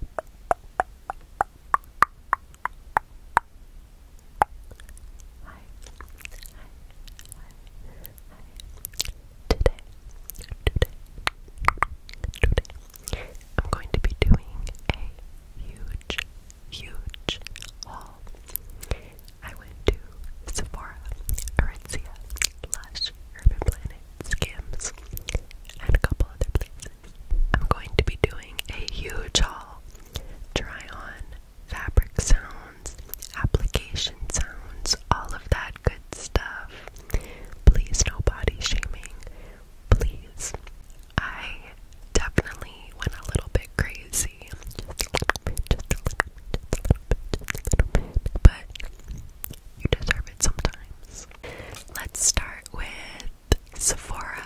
hi, hi, today, today, today, I'm going to be doing a huge, huge haul. I went to Sephora, Aritzia, Lush, Urban Planet, Skims, and a couple other places I'm going to be doing a huge haul. Try on fabric sounds, application sounds, all of that good stuff. Please, no body shaming. Please. I definitely went a little bit crazy. Just a little bit, But you deserve it sometimes. Let's start with Sephora.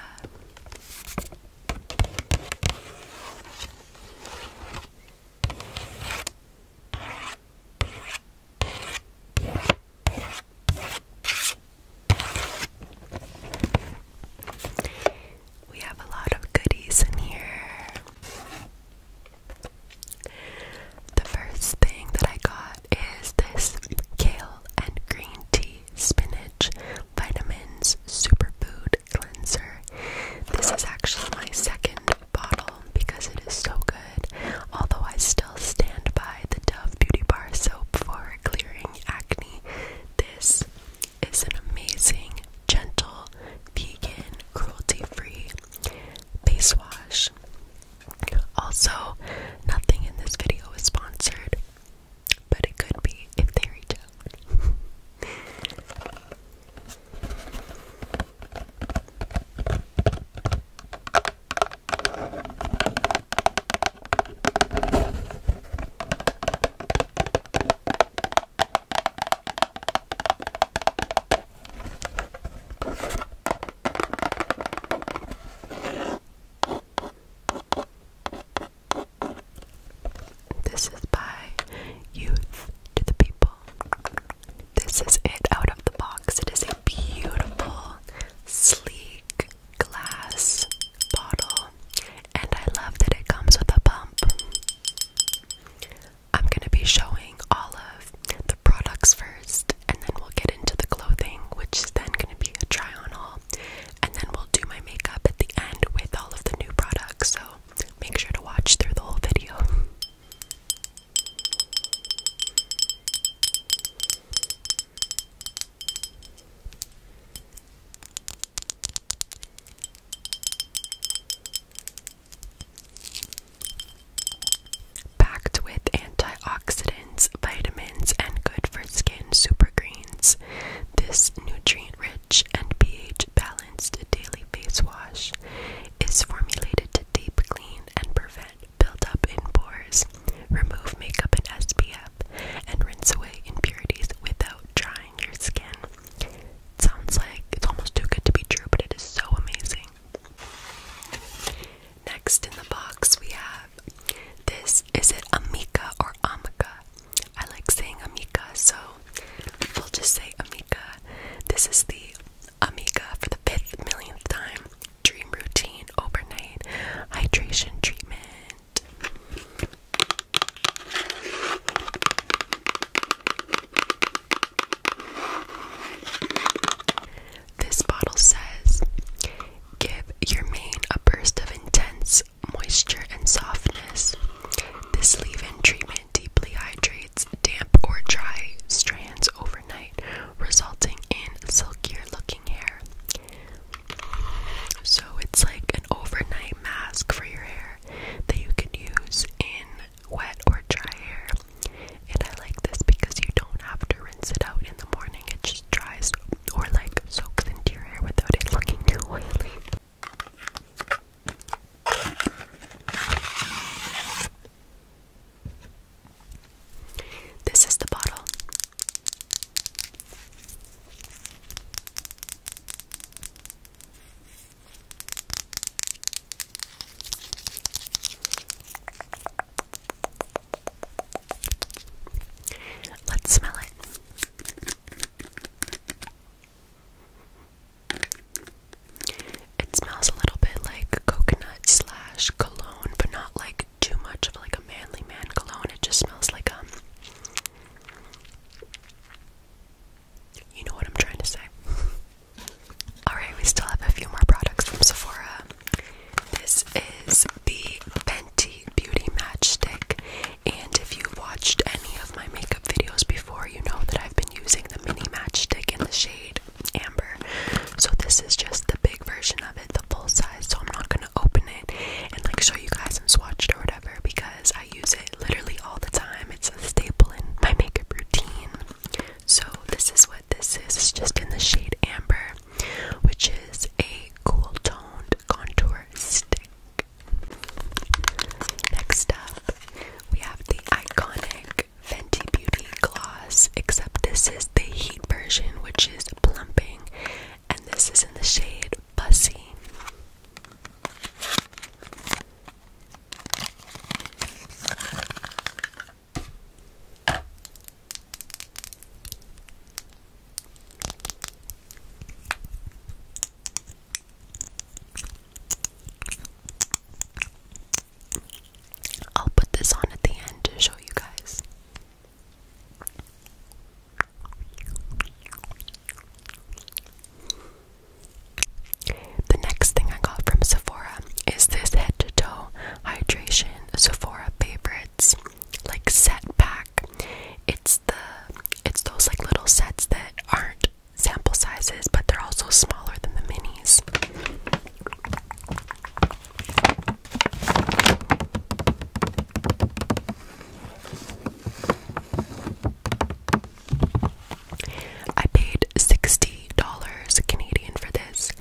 We have a lot of goodies in here. The first thing that I got is this kale and green tea spinach vitamins superfood cleanser. This is actually my second bottle because it is so good. Although I still stand by the Dove Beauty Bar soap for clearing acne, this is an amazing, gentle, vegan, cruelty free face wash. Also, nothing in this video is sponsored, but it could be if they reach out. This is by Youth to the People. This is it out of the box. It is a beautiful, sleek glass bottle, and I love that it comes with a pump. I'm going to be showing all of the products first and then we'll get into the clothing, which is then going to be a try on haul. And then we'll do my makeup at the end with all of the new products. So make sure to watch through the whole video. Packed with antioxidants vitamins, and good for skin super greens. This nutrient rich and pH balanced daily face wash is formulated to deep clean and prevent buildup in pores, remove makeup and SPF, and rinse away impurities without drying your skin. sounds like it's almost too good to be true, but it is so amazing. Next in the box, we have this. Is it Amika or Amika? I like saying Amika, so we'll just say Amika. This is the Amika for the fifth millionth time. Dream routine overnight hydration treatment. This bottle says give your mane a burst of intense moisture and softness. This leave in treatment deeply hydrates damp or dry strands overnight, resulting in silkier looking hair. So it's like an overnight mask for your hair that you can use in wet or dry hair. And I like this because you don't have to rinse it out in the morning, it just dries or like soaks into your hair without it looking too oily. This is the bottle. Let's smell it. It smells a little bit like coconut slash cologne, but not like too much of like a manly man cologne. It just smells like um you know what I'm trying to say. Alright, we still have a few more products from Sephora. This is the Fenty Beauty Matchstick. And if you've watched any of my makeup videos before, you know that I've been using the mini match stick in the shade Amber. So this is just the big version of it, the full size. So I'm not gonna open it and like show you guys and swatched or whatever because I use it literally all the time. It's a staple in my makeup routine. So this is what this is. It's just in the shade Amber which is a cool toned contour stick. Next up, we have the iconic Fenty Beauty gloss, except this is the heat version, which is plumping, and this is in the shade Bussy. I'll put this on at the end to show you guys. The next thing I got from Sephora is this head to toe hydration Sephora favorite sets, like set pack. It's the it's those like little sets that aren't sample sizes, but they're also smaller than the minis. I paid $60 Canadian for this,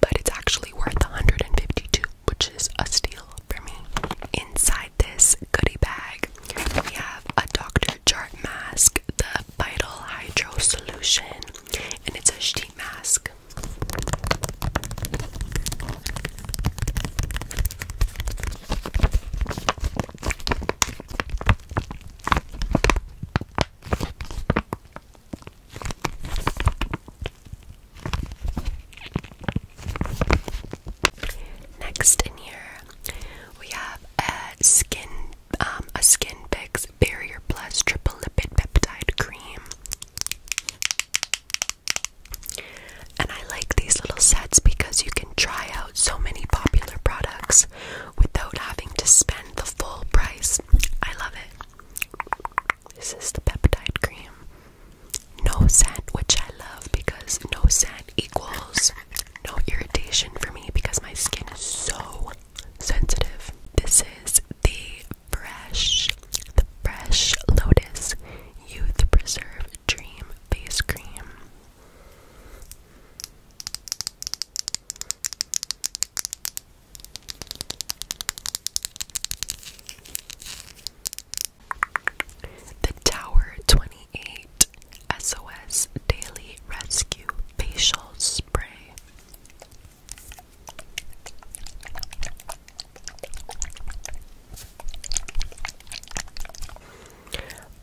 but it's actually worth $152 which is a steal for me. Inside this goodie bag, we have a Dr. Chart mask, the Vital Hydro Solution, and it's a sheet mask. Next in here, we have a skin, um, a Skin Fix Barrier Plus Triple Lipid Peptide Cream, and I like these little sets because you can try out so many popular products without having to spend the full price. I love it. This is the peptide cream. No scent, which I love because no scent equals no irritation for me because my skin is so sensitive. This is the fresh, the fresh Lotus Youth Preserve Dream Face Cream. The Tower 28 SOS Daily Rescue Facial Spray.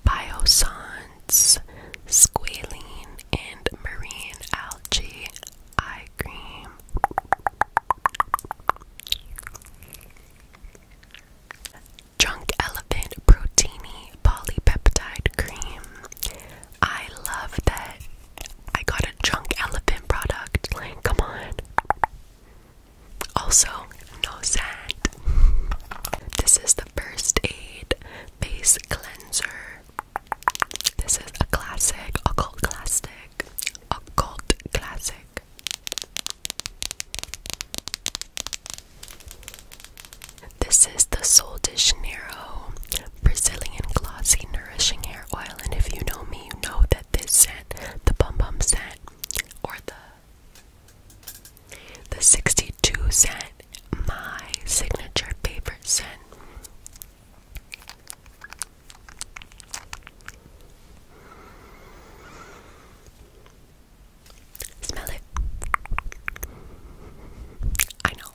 Biosons, squalene, and marine algae. I cream. Drunk Elephant Proteini Polypeptide Cream. I love that I got a Drunk Elephant product. Like, come on. Also, no scent. This is the First Aid Face Cleanser. This is a classic, occult classic, occult classic. This is the Sol de Janeiro Brazilian Glossy Nourishing Hair Oil, and if you know me, you know that this scent, the Bum Bum scent, or the the 62 scent, my signature favorite scent. Smell it. I know.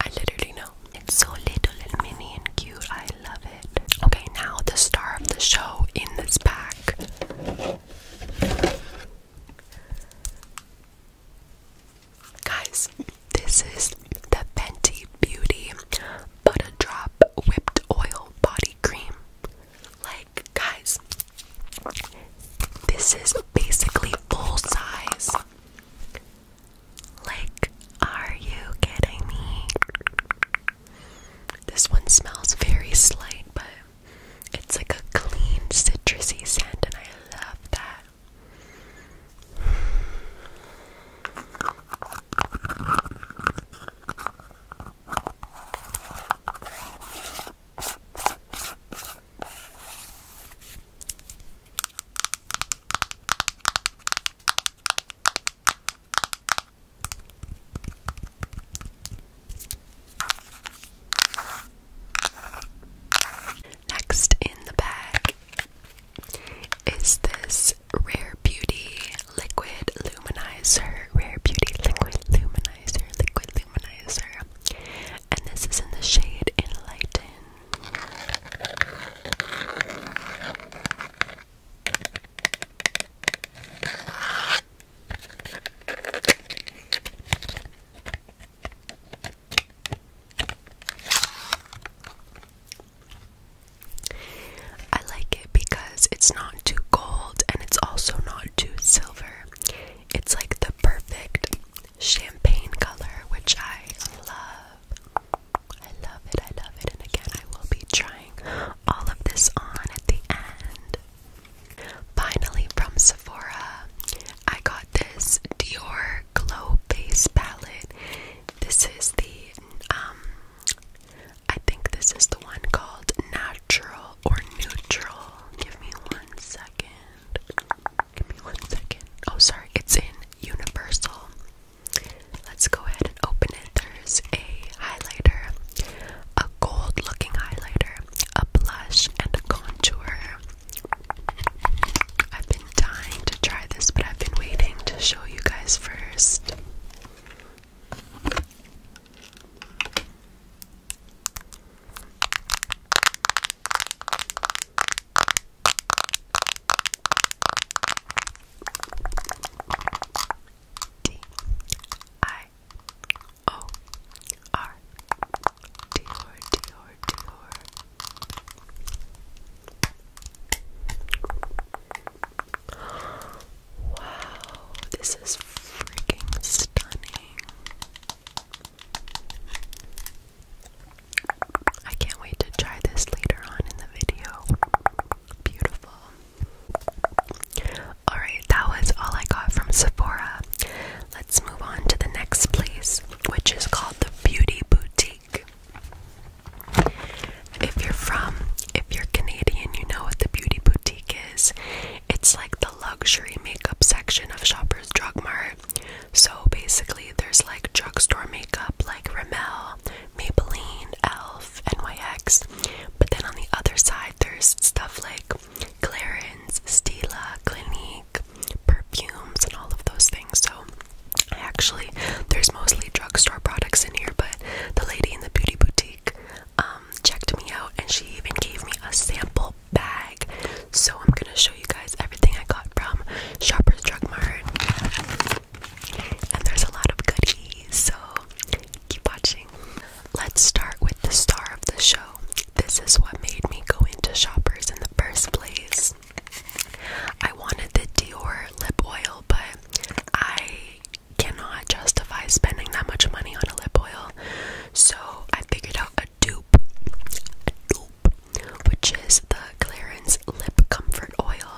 I literally know. It's so little and mini and cute. I love it. Okay, now the star of the show in this pack. Guys, this is the Fenty Beauty but Whipped Oil Body Cream. Like, guys, this is basically full size. Like, are you kidding me? This one smells very slight, but it's like a clean, citrusy scent, and I love that. Next in the bag is this Rare Beauty Liquid Luminizer. Rare Beauty Liquid Luminizer. Liquid Luminizer. And this is in the shade Enlighten. I like it because it's not too gold and it's also not too silver. It's like the perfect champagne color, which I love. I love it, I love it. And again, I will be trying all of this on at the end. Finally, from Sephora, I got this Dior Glow Base Palette. This is the um I think this is the one called natural or neutral. Give me one second. Give me one second. Oh, sorry, it's in universal. Let's go ahead and open it. There's a highlighter, a gold looking highlighter, a blush, and a contour. I've been dying to try this, but I've been waiting to show you guys first. D I O R Dior Dior Dior Wow, this is freaking stunning. I can't wait to try this later on in the video. Beautiful. Alright, that was all I got from Sephora. Let's move on to the next place, which is called the Beauty Boutique. If you're from, if you're Canadian, you know what the Beauty Boutique is. It's like the luxury makeup section of Shoppers Drug Mart. So basically, there's like drugstore makeup like Rimmel, Maybelline, Elf, NYX. But then on the other side, there's stuff like Clarins, Stila, Clinique, perfumes, and all of those things. So, actually, there's mostly drugstore products in here, but the lady in the beauty boutique um, checked me out and she even gave me a sample bag. So I'm gonna show you guys everything I got from Shoppers Drug Mart. And there's a lot of goodies, so keep watching. Let's start with the star of the show. This is what made me go into Shoppers in the first place. I wanted the Dior lip oil, but I cannot justify spending that much money on a lip oil. So I figured out a dupe, dupe, which is the Clarins Lip Comfort Oil.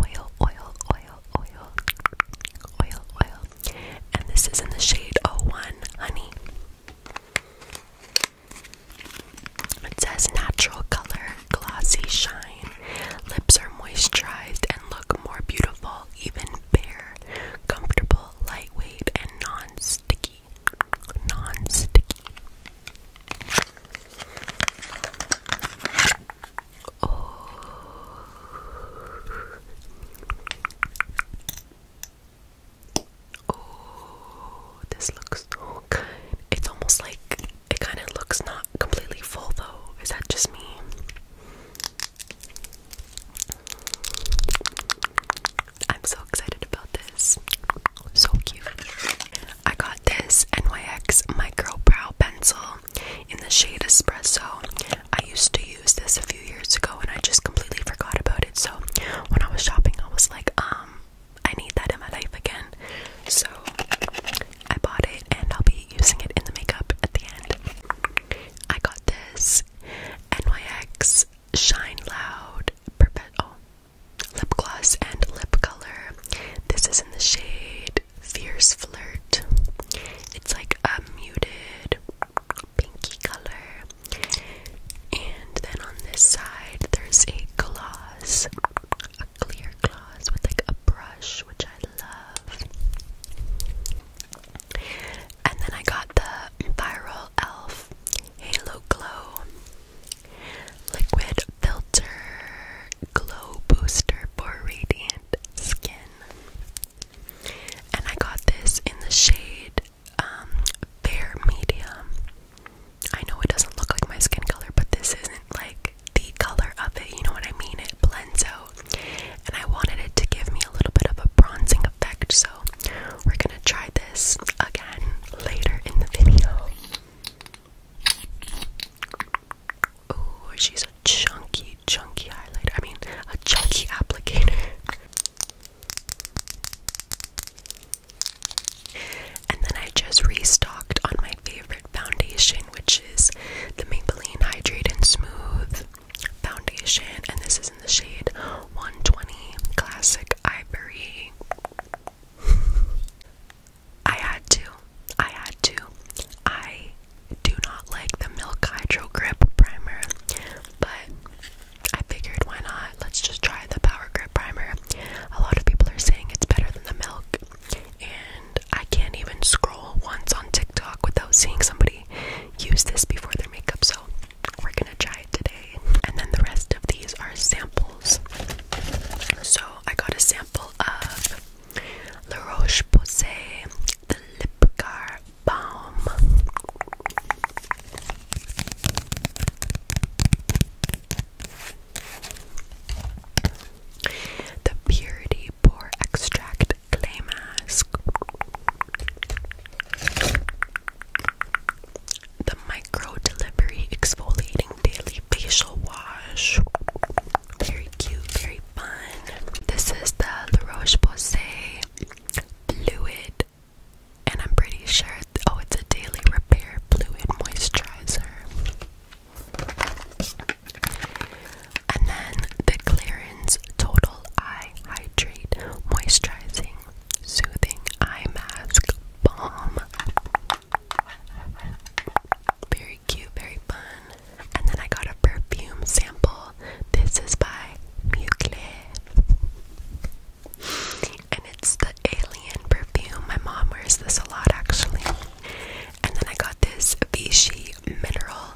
Oil, oil, oil, oil, oil, And this is in the shade 01 Honey. It says natural color glossy shine. Lips are moisturized and look more beautiful, even bare. Comfortable, lightweight, and non-sticky. Non-sticky. Oh. oh, this looks so good. It's almost like it kind of looks not completely full though. Is that just me? I'm so excited about this. So cute. I got this NYX Micro Brow Pencil in the shade Espresso. I used to use this a few years ago and I just completely forgot about it. So when I was shopping, I was like, um, I need that in my life again. So I bought it and I'll be using it in the makeup at the end. I got this NYX Shine Loud oh, Lip Gloss and Lip Color. This is in the shade Fierce Flirt. It's like a muted pinky color. And then on this side, there's a gloss, clear gloss with like a brush, which I love. And then I got the Viral Elf Halo Glow Liquid Filter Glow Booster for Radiant Skin. And I got this in the shade um, Fair Medium. I know it doesn't look like my skin color, but this isn't like the color of it, you know what I mean? It blends out. And I wanted it to give me a little bit of a bronzing effect, so we're gonna try this again later in the video. Oh, she's a chunky, chunky highlighter. I mean, a chunky applicator. And then I just restocked on my favorite foundation, which is the Maybelline Hydrate and Smooth foundation, and this is in the shade 120 Classic Ivory. I had to. I had to. I do not like the Milk Hydro Grip Primer, but I figured why not? Let's just try the Power Grip Primer. A lot of people are saying it's better than the Milk, and I can't even scroll once on TikTok without seeing somebody use this before their makeup, so we're gonna try it today. And then the rest of these are samples. So I got a sample of La Roche Posay, the Lipgar Balm. The Purity Body Extract Clay Mask. The Micro Delivery Exfoliating Daily Facial Wash. Very cute, very fun. This is the La Roche Posay Fluid, and I'm pretty sure, oh, it's a daily repair fluid moisturizer. And then the Clarins Total Eye Hydrate Moisturizing Soothing Eye Mask Balm. Very cute, very fun. And then I got a perfume sample. This is by Muclé. And it's the alien perfume. My mom wears this a lot actually. And then I got this Vichy Mineral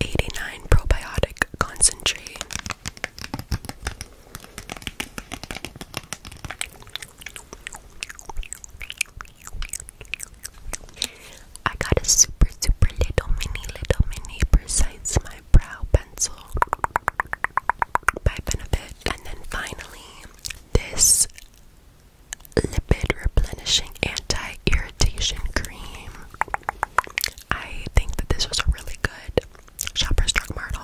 89 Probiotic Concentrate. I got a super, super little, mini, little, mini, precise my brow pencil by Benefit. And then finally, this Lipid Replenishing Anti Irritation Cream. I think that this was a really good Shoppers Drug Mart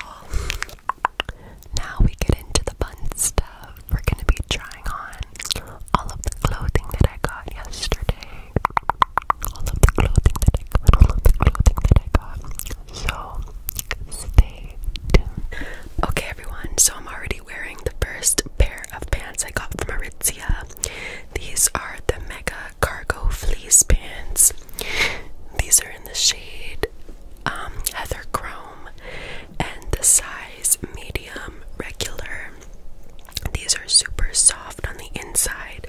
Now we get into the fun stuff. We're going to be trying on all of the clothing that I got yesterday. All of the clothing that I got. All of the clothing that I got. So stay tuned. Okay, everyone. So I'm already wearing the first pair of pants I got from Aritzia. These are the Mega Cargo Fleece Pants. These are in the shade um, Heather Chrome and the size medium regular. These are super soft on the inside.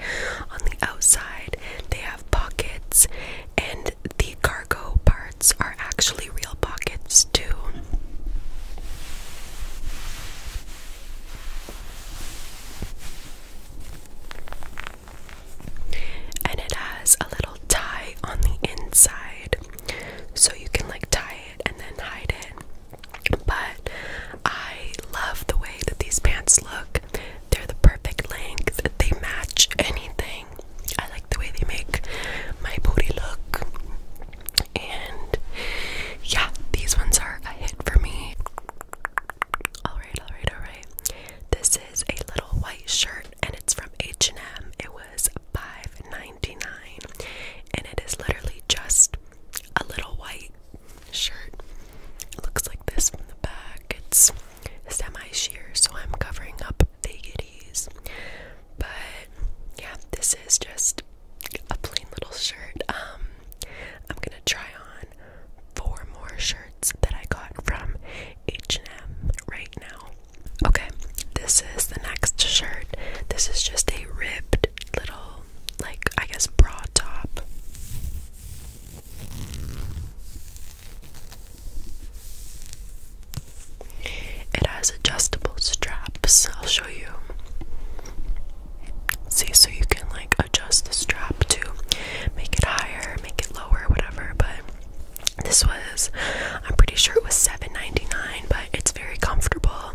On the outside, they have pockets, and the cargo parts are actually real pockets, too. And it has a little tie on the inside. So you can like tie it and then hide it. But I love the way that these pants look. They're the perfect length, they match anything. I like the way they make my booty look. And yeah, these ones are a hit for me. Alright, alright, alright. This is a little white shirt and it's from H&M. It was $5.99 and it is literally just a little white shirt. looks like this from the back. It's semi-sheer, so I'm covering up the giddies. But yeah, this is just a plain little shirt. Um, I'm gonna try on four more shirts that I got from H&M right now. Okay, this is the next shirt. This is just a ribbed little, like I guess, bra top. It has adjustable straps. I'll you. See, so you can like adjust the strap to make it higher, make it lower, whatever. But this was, I'm pretty sure it was $7.99, but it's very comfortable.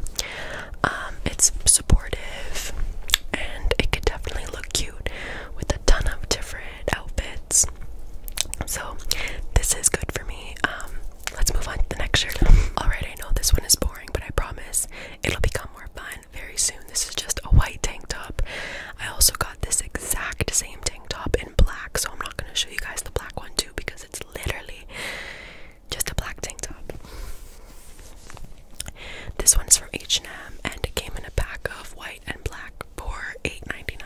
Um, it's supportive and it could definitely look cute with a ton of different outfits. So, this is good for me. Um, let's move on to the next shirt. Alright, I know this one is boring, but I promise it'll become more fun very soon. This is just a white tank top. I also got this exact same tank top in black, so I'm not going to show you guys the black one too because it's literally just a black tank top. This one's from H&M and it came in a pack of white and black for $8.99.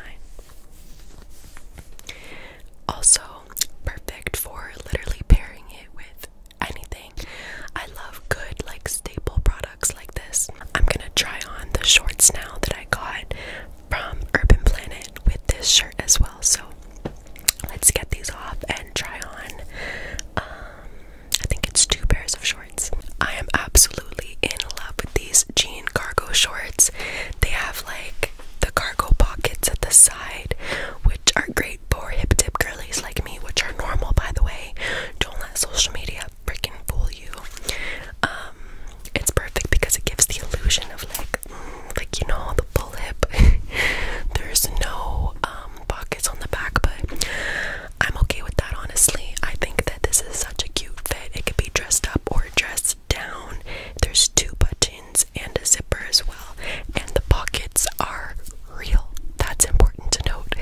Also perfect for literally pairing it with anything. I love good like staple products like this. I'm gonna try on the shorts now that I got from Urban Planet with this shirt as well. So let's get these off and try on. Um, I think it's two pairs of shorts. I am absolutely in love with these jean cargo shorts. They have like the cargo pockets at the side, which are great for hip dip girlies like me, which are normal by the way. Don't let social media freaking fool you. Um, it's perfect because it gives the illusion of like, mm, like you know, the full hip. There's no um pockets on the back, but I'm okay with that honestly. I think that this is such a cute fit. It could be dressed up or dressed down. There's two buttons and a zipper as well, and the pockets are real. That's important to note.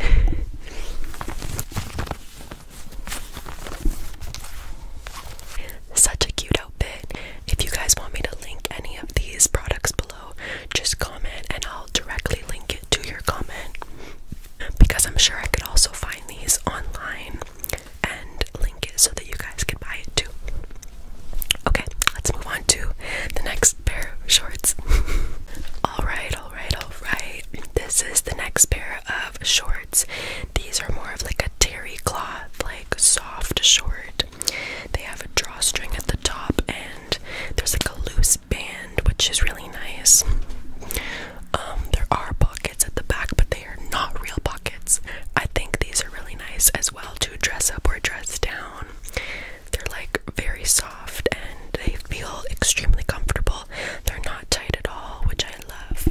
Such a cute outfit. If you guys want me to link any of these products below, just comment and I'll directly link it to your comment. Because I'm sure I could also find these online and link it so that you guys can buy it too. Okay, let's move on to the next pair of shorts. alright, alright, alright. This is the next pair of shorts. These are more of like a terry cloth, like soft short. They have a drawstring at the top and there's like a loose band, which is really nice. Um, there are pockets at the back, but they are not real pockets. I think these are really nice as well to dress up or dress down. They're like very soft and they feel extremely comfortable. They're not tight at all, which I love.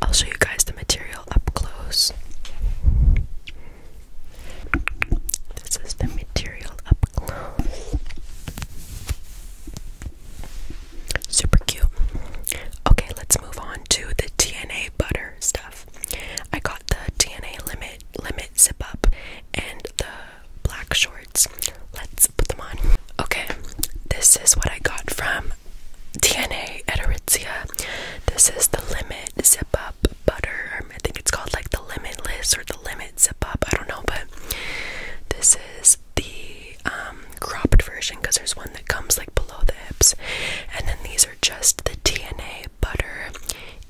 I'll show you guys the material up close. This is the material up close. Super cute. Okay, let's move on to the TNA butter stuff. I got the DNA limit limit zip up and the black shorts. Let's put them on. Okay, this is what I got from DNA at This is the limit zip up butter. I think it's called like the limitless or the limit zip up. I don't know, but this is the um, cropped version because there's one that comes like below the hips. And then these these are just the TNA butter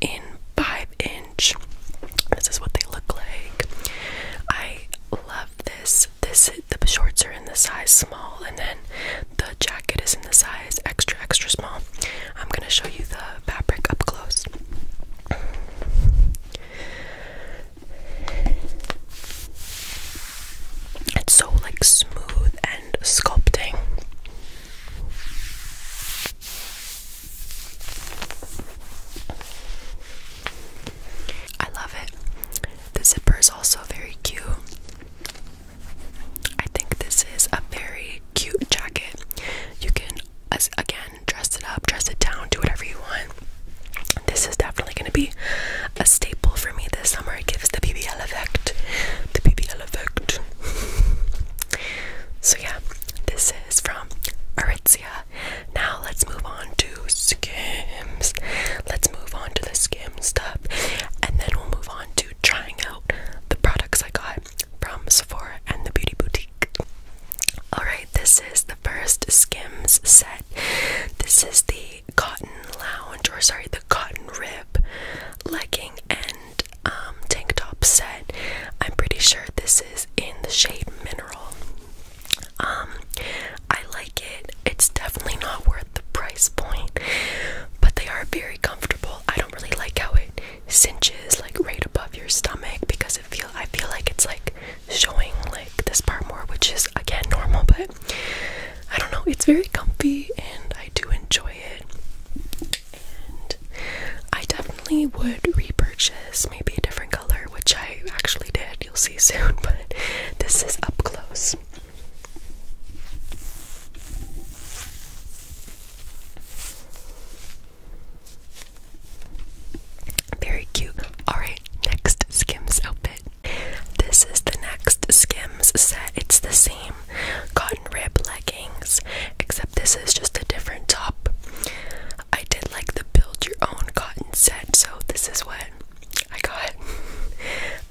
in five inch. This is what they look like. I love this. This the shorts are in the size small, and then the jacket is in the size extra extra small. I'm gonna show you the fabric up close. It's so like smooth sculpting. I love it. The zipper is also very cute. I think this is a very cute jacket. You can, again, dress it up, dress it down, do whatever you want. This is definitely going to be a staple for me this summer. It gives the BBL effect. The BBL so yeah, this is from Aritzia. Now let's move on to Skims. Let's move on to the Skim stuff, and then we'll move on to trying out the products I got from Sephora and the Beauty Boutique. Alright, this is the first Skims set. This is the cotton lounge or sorry the cotton rib legging and um, tank top set. I'm pretty sure this is in the shade mineral. Um, I like it. It's definitely not worth the price point, but they are very comfortable. I don't really like how it cinches like right above your stomach because it feel I feel like it's like showing like this part more, which is again normal, but I don't know, it's very comfy and I do enjoy it. And I definitely would repurchase maybe a different color, which I actually did, you'll see soon, but this is up close. Very cute. Alright, next Skims outfit. This is the next Skims set. It's the same cotton rib leggings, except this is just a different top. I did like the build your own cotton set, so this is what I got.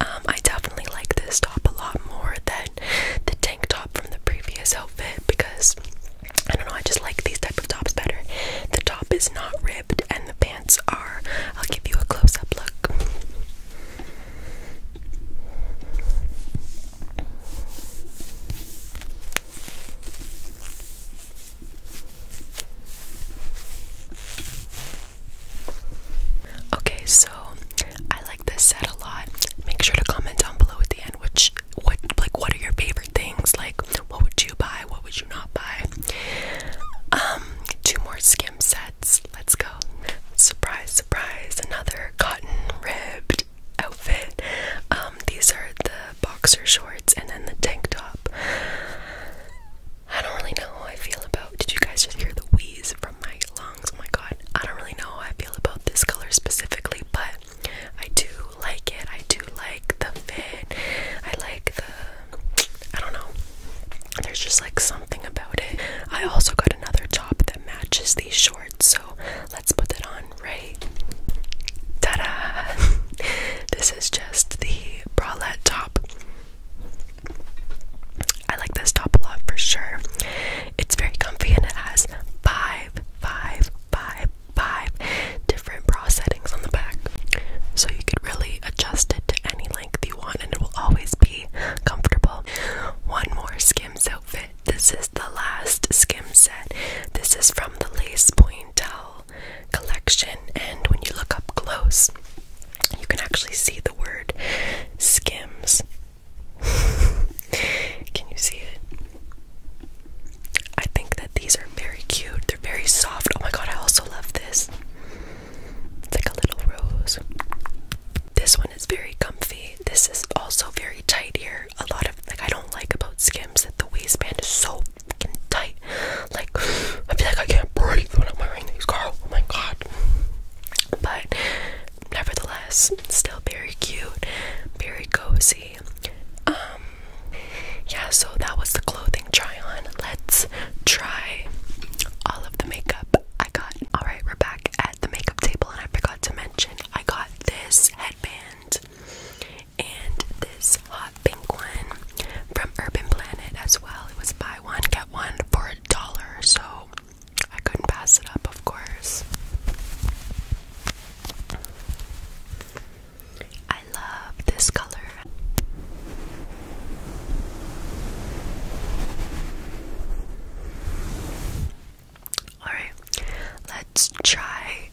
Um, I definitely like this top a lot more than the tank top from the previous outfit because I don't know, I just like these type of tops better. The top is not ribbed and the pants are. I'll give you a close-up look. Okay, so I like this set a lot. Make sure to comment down below at the end which what like what are your favorite things? Like what would you buy? What would you not buy? Um, two more skins sets. Let's go. Surprise, surprise, another cotton ribbed outfit. Um, these are the boxer shorts and then the tank top. I don't really know how I feel about did you guys just hear the wheeze from my lungs? Oh my god. I don't really know how I feel about this color specifically, but I do like it. I do like the fit. I like the I don't know. There's just like something about it. I also got another top that matches these shorts. So let's put that on, right? Ta da! this is just the bralette top. I like this top a lot for sure. It's very comfy and it has five, five, five, five different bra settings on the back. So you could really adjust it to any length you want and it will always be comfortable. One more Skims outfit. This is the last Skim set. This is from the Lace Pointel collection, and when you look up close, you can actually see the word Skims. can you see it? I think that these are very cute. They're very soft. Oh my god, I also love this. It's like a little rose. This one it's very comfy. This is also very tight here. A lot of like I don't like about Skims that the waistband is so fucking tight. Like I feel like I can't breathe when I'm wearing these, girl. Oh my god. But nevertheless, still very cute, very cozy. Um yeah, so that was the clothing try on. Let's try all of the makeup I got. Alright, we're back at the makeup table and I forgot to mention I got this headband and this hot pink one from Urban Planet as well. It was buy one, get one for a dollar, so I couldn't pass it up, of course. I love this color. Alright, let's try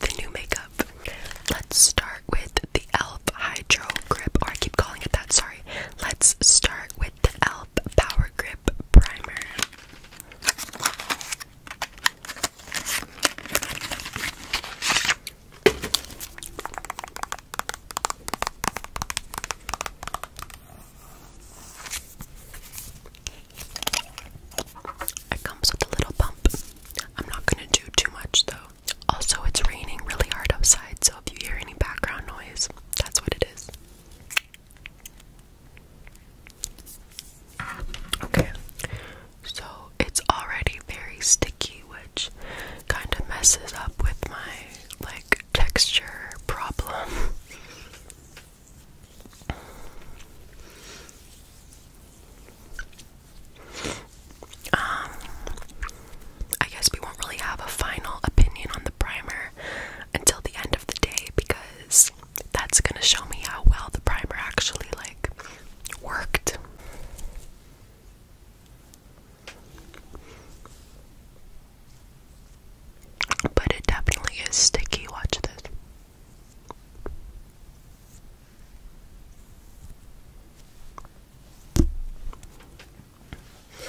the new makeup. Let's start with the e.l.f. Hydro Grip, or I keep calling it that, sorry. Let's start with the e.l.f. Power Grip Primer. It comes with a little pump. I'm not gonna do too much though. Also, it's raining really hard outside, so if you hear any background noise, that's what it is. Okay, so it's already very sticky, which kind of messes up with my like texture problem. Um, I guess we won't really have a final opinion on the primer until the end of the day because that's going to show me how well the primer actually like worked. But it definitely is sticky. Watch this.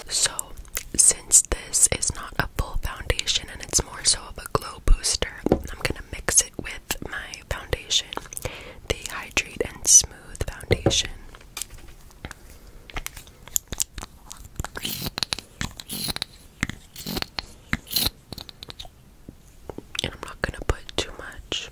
So, since this is not a full foundation and it's more so of a glow booster, I'm gonna mix it with my foundation, the Hydrate and Smooth Foundation. And I'm not going to put too much.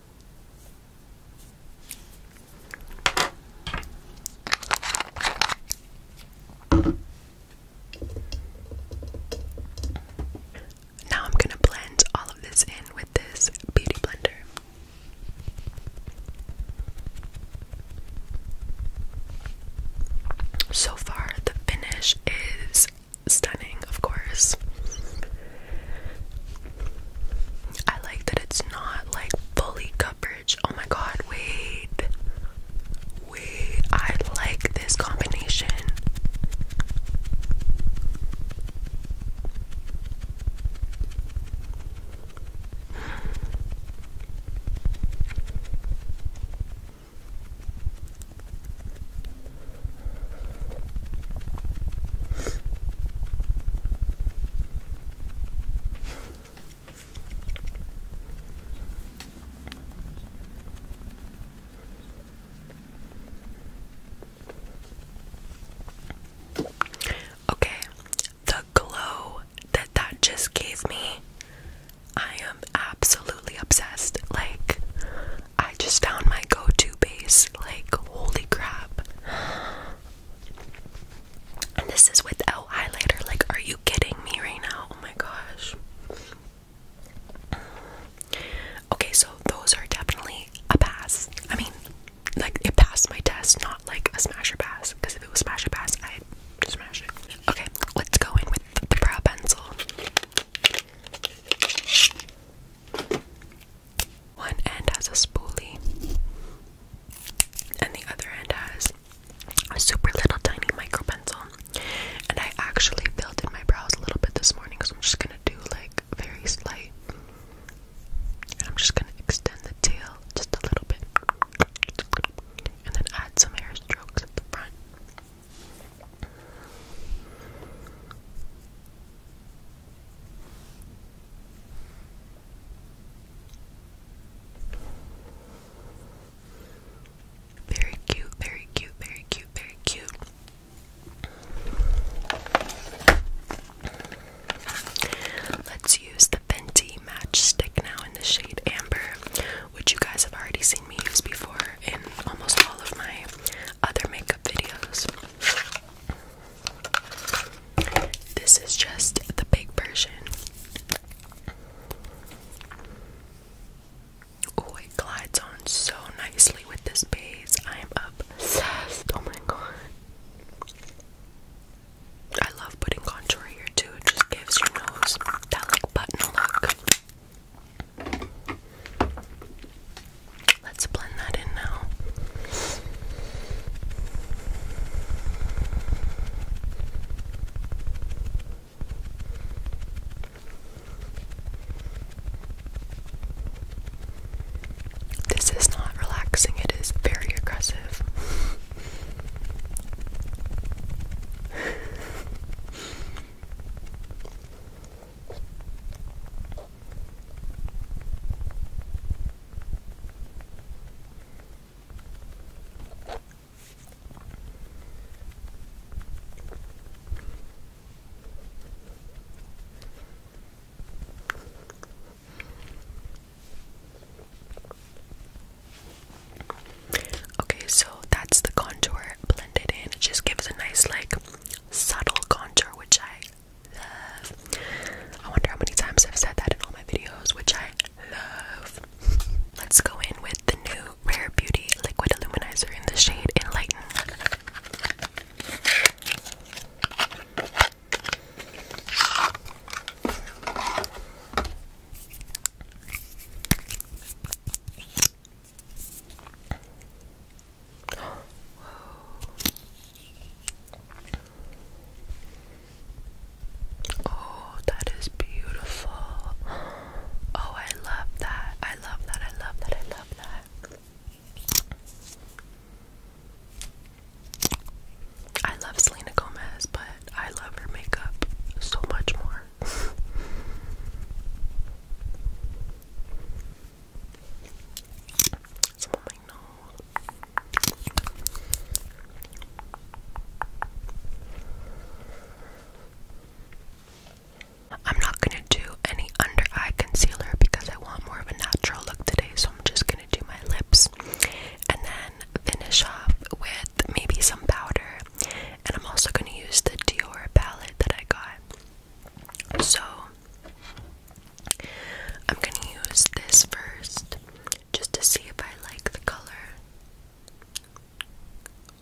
Now I'm going to blend all of this in with this beauty blender. So far, the finish is stunning, of course. I like that it's not like fully coverage. Oh my god, wait. Wait, I like this combination. Okay, the glow that that just gave me, I am absolutely obsessed. Like, I just found my go to base. Like, holy crap. And this is without highlighter. Like, are you kidding me right now? Oh my gosh. Okay, so those are definitely a pass. I mean, like, it passed my test, not like a smasher pass. Because if it was smasher pass, I'd smash it. Okay, let's go in with the brow pencil. One end has a spoolie, and the other end has a super little tiny micro pencil. And I actually filled in my brows a little bit this morning, so I'm just gonna do like very slight. And I'm just gonna extend the tail just a little bit, and then add some hair strokes at the front. Very cute, very cute, very cute, very cute. Let's use the Fenty matchstick now in the shade Amber, which you guys have already seen me use before in almost all of my other makeup videos. This is just the big version. Oh, it glides on so nicely with this base. I am obsessed. Oh my god. I love putting contour here too. It just gives your nose that like button look. Let's blend that in now. This is not relaxing, it is very aggressive. Okay, so that's the contour blended in. It just gives a nice, like, subtle contour, which I I wonder how many times I've said that in all my videos, which I love. Let's go in with the new Rare Beauty Liquid Illuminizer in the shade Enlighten. Whoa. Oh, that is beautiful. Oh, I love that. I love that. I love that. I love that. I love Selena Gomez, but I love her makeup so much more. I'm not gonna do any under eye concealer because I want more of a natural look today, so I'm just gonna do my lips and then finish off with maybe some powder. And I'm also gonna use the Dior palette that I got. So I'm gonna use this first just to see if I like the color.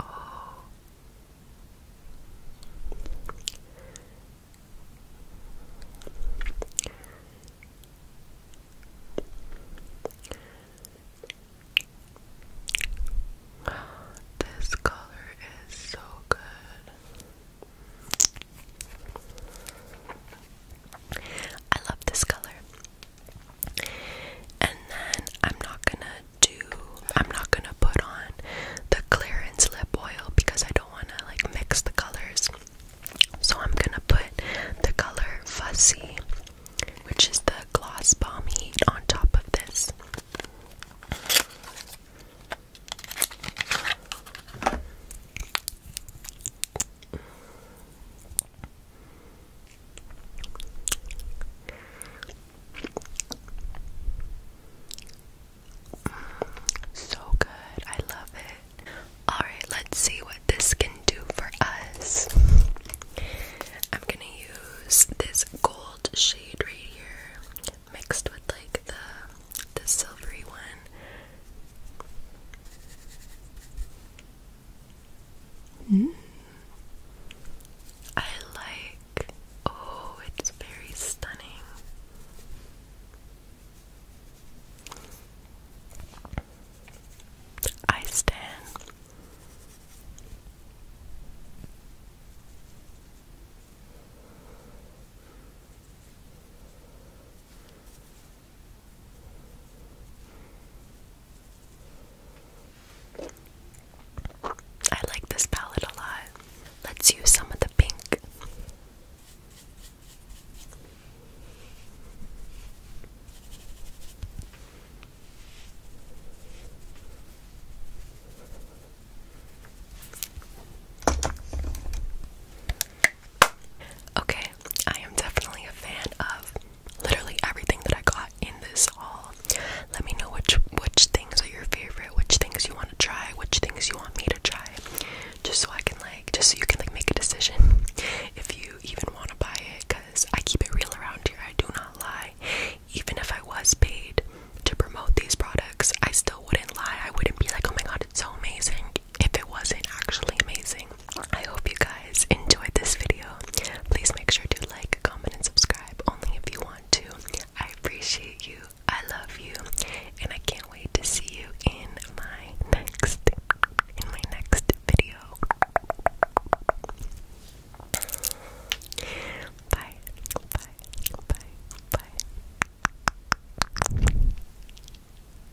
Oh. This color is so good. I love this color. And then I'm not gonna do, I'm not gonna put on the clearance lip oil because I don't wanna like mix the colors. So I'm gonna put the color Fuzzy, which is the gloss balm heat, on top of this. So good, I love it. Alright, let's see what this can do for us. I'm gonna use this gold shade right here, mixed with like the the silvery one Hmm. I like. Oh, it's very stunning. I stand. I like this palette a lot. Let's use some of the pink. Okay, I am definitely a fan of literally everything that I got in this haul. Let me know which which things are your favorite, which things you want to try, which things you want me to try. Just so I can like just so you can like make a decision if you even want to buy it cuz I keep it real around here. I do not lie. Even if I was paid to promote these products, I still wouldn't lie. I wouldn't be like, "Oh my god, it's so amazing." if it wasn't actually amazing. I hope you guys enjoyed this video. Please make sure to like, comment, and subscribe only if you want to. I appreciate you. I love you. And I can't wait to see you in my next in my next video. Bye. Bye. Bye. Bye.